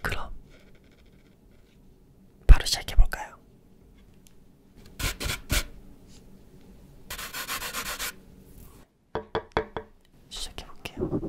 그럼 바로 시작해볼까요? 시작해볼게요.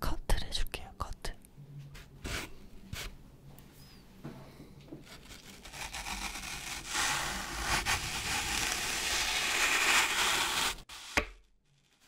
커트를 해줄게요. 커트.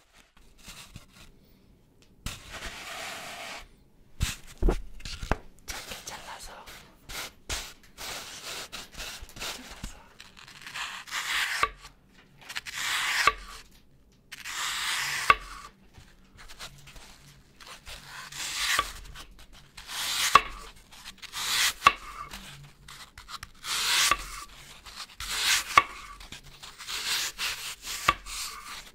작게 잘라서 잘라서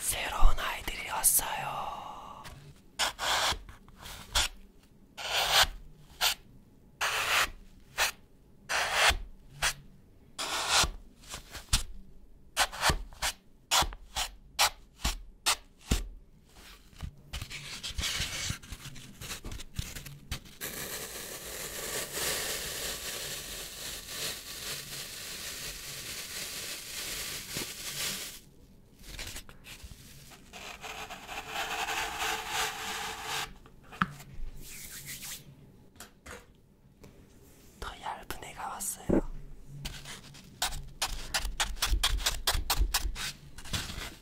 새로운 아이들이 왔어요. 더 얇은 애가 왔어요.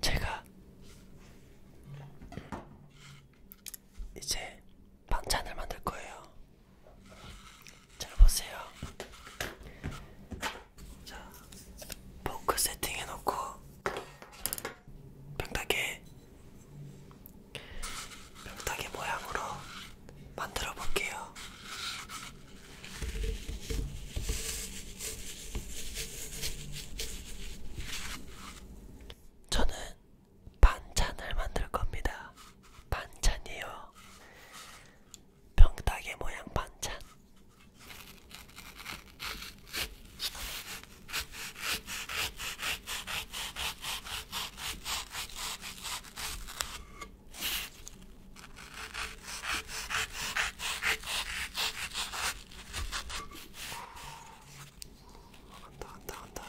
제가 이제 반찬을 만들 거예요. 잘 보세요. 자, 포크 세팅해놓고 병따개 병따개 모양으로 만들어 볼게요. 저는 반찬을 만들 겁니다. 반찬이요. 병따개 모양 반찬 간다 간다 간다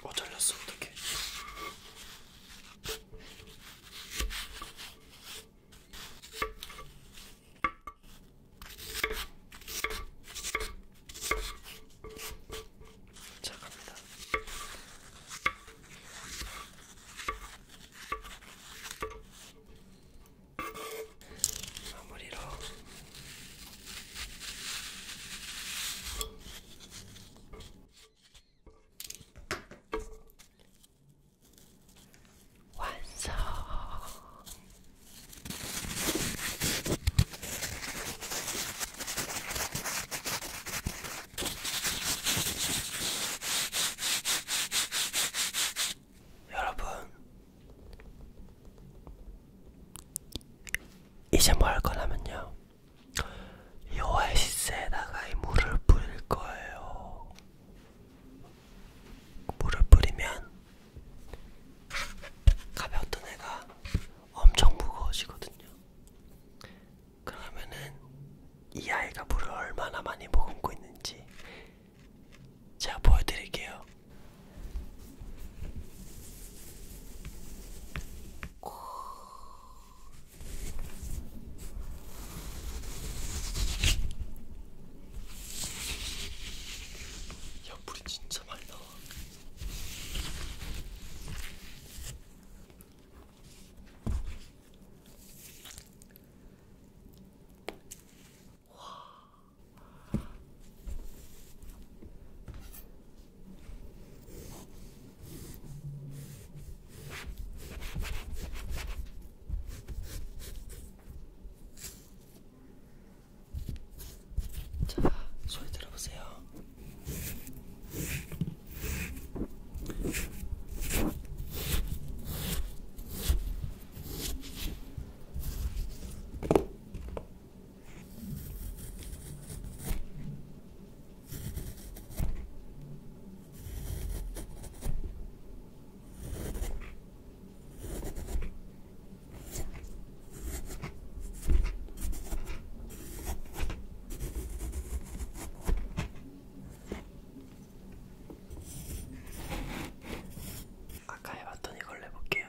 어 잘렸어 어떡해 자, 갑니다. 마무리로 완성. 여러분, 이제 뭐 할 거냐면요. 이 오아시스에다가 이 물을 뿌릴 거예요. 물을 뿌리면 가볍던 애가 엄청 무거워지거든요. 그러면은 이 아이가 물을 얼마나 많이 머금고 있는지 제가 보여드릴게요. 야 물이 진짜 많이 나와. 와. 자, 소리 들어보세요. 아까 해봤던 이걸로 해볼게요.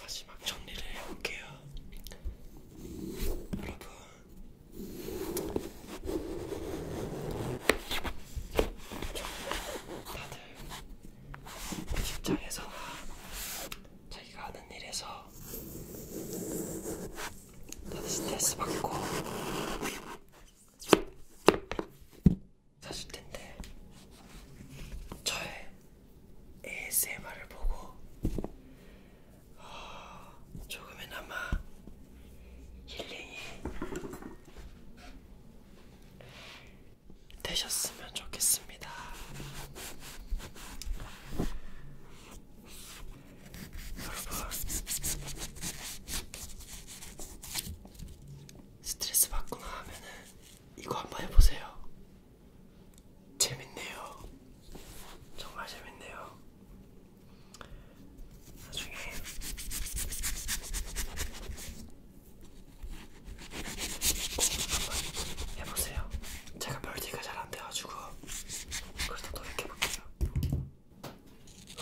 마지막 정리를 해볼게요. 여러분, 다들 직장에서나 자기가 하는 일에서 다들 스트레스 받고 사실 텐데 저의 ASMR을 보고 어, 아, 조금이나마 힐링이 되셨으면 좋겠습니다. 여러분, 스트레스 받거나 하면은 이거 한번 해보세요. 재밌네요. 정말 재밌네요. 나중에 한번 해보세요. 제가 멀티가 잘 안 돼가지고 그래서 노력해볼게요.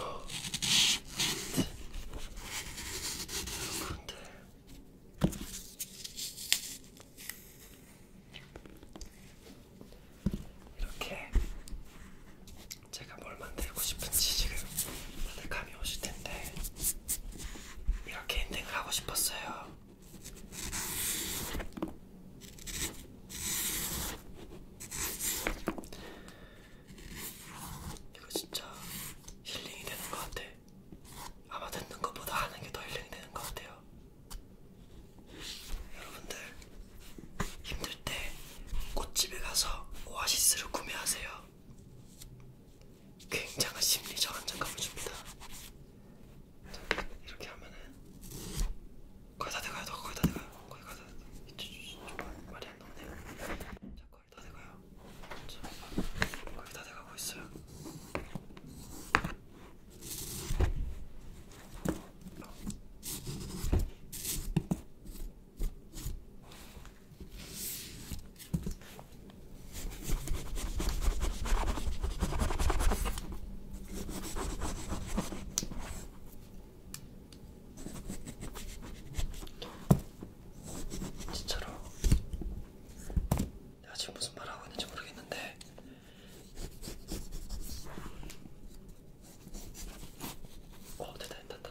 어. 여러분들 이렇게 제가 뭘 만들고 싶은지 지금 다들 감이 오실 텐데 이렇게 엔딩을 하고 싶었어요. 이거 진짜 힐링이 되는 것 같아. 아마 듣는 것보다 하는 게 더 힐링이 되는 것 같아요. 여러분들 힘들 때 꽃집에 가서 오아시스를 구매하세요. 굉장한 심리적 안정감을 줍니다. 이렇게 하면은 거의 다 돼가요. 거의 다 돼가요. 거의 다 돼가요. 좀 말이 안 나오네요. 자, 거의 다 돼가요. 자, 거의 다 돼가고 있어요. 진짜로 내가 지금 무슨 말 하고 있는지 모르겠는데 어 됐다 됐다 됐다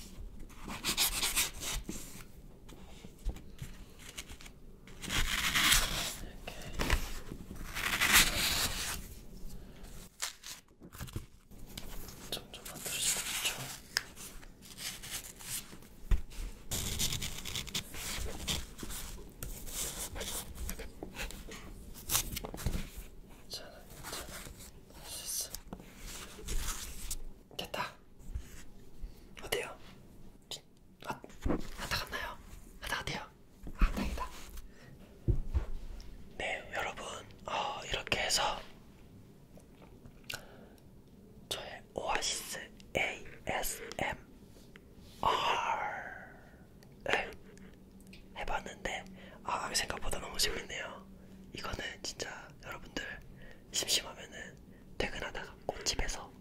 점점 만들어지고 있죠. 괜찮아, 괜찮아. 됐다. 어때요? 아, 아다 갔나요? 아다 어때요? 아, 다행이다. 네, 여러분, 어, 이렇게 해서 저의 오아시스 ASMR. 네. 해봤는데 아 생각보다 너무 재밌네요. 이거는 진짜 여러분들 심심하면은 퇴근하다가 꽃집에서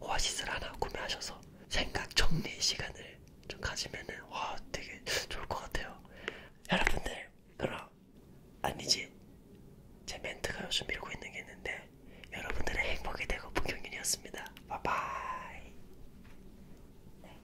오아시스를 하나 구매하셔서 생각 정리 시간을 좀 가지면은 와 되게 좋을 것 같아요. 여러분들 그럼 아니지 제 멘트가 요즘 밀고 있는 게 있는데 여러분들의 행복이 되고 문경윤이었습니다. 바이바이. 네.